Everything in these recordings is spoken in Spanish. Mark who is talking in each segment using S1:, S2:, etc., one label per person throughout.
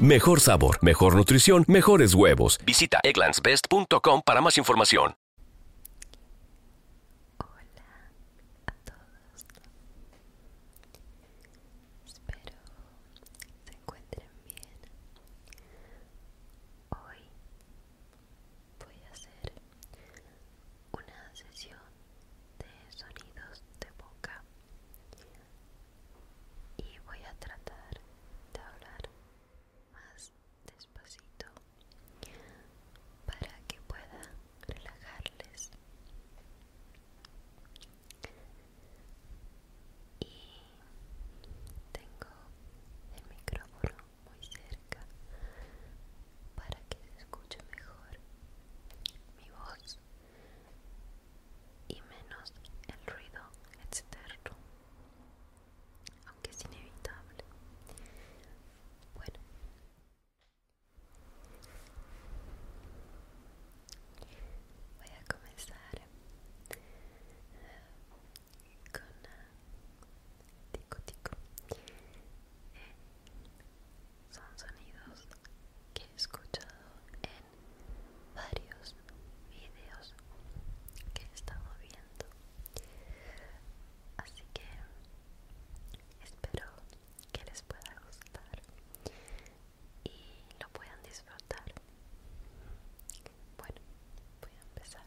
S1: Mejor sabor, mejor nutrición, mejores huevos. Visita egglandsbest.com para más información. Hola a todos. Espero se encuentren bien.
S2: Hoy voy a hacer una sesión de sonidos de boca y voy a tratar de hablar más despacito para que pueda relajarles y tengo el micrófono muy cerca para que se escuche mejor mi voz y menos el ruido externo, aunque es inevitable. Bueno, voy a comenzar eh, con ah, tico tico. Eh, son sonidos que he escuchado en varios vídeos que he estado viendo así que espero que les pueda gustar y lo puedan disfrutar bueno voy a empezar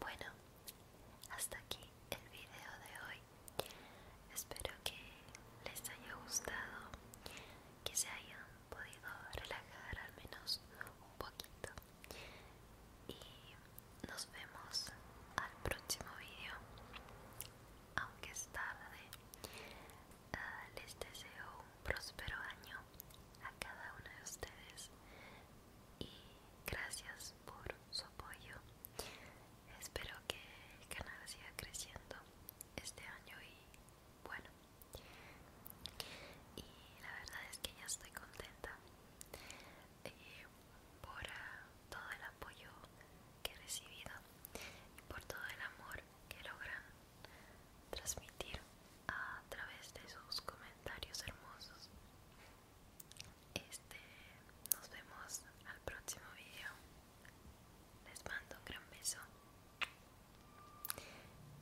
S2: Bueno, hasta aquí el video de hoy. Espero que les haya gustado, que se hayan podido relajar al menos un poquito. Y nos vemos al próximo video, aunque es tarde. Ah, les deseo un próspero año a cada uno de ustedes y gracias por su apoyo. Espero que el canal siga creciendo este año y bueno. Y la verdad es que ya estoy contenta eh, por ah, todo el apoyo que he recibido, Y por todo el amor que logran transmitir a través de sus comentarios hermosos. Este, nos vemos al próximo vídeo
S1: Les mando un gran beso.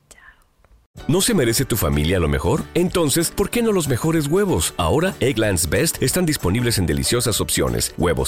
S1: Chao. ¿No se merece tu familia lo mejor? Entonces, ¿por qué no los mejores huevos? Ahora, Egglands Best están disponibles en deliciosas opciones. Huevos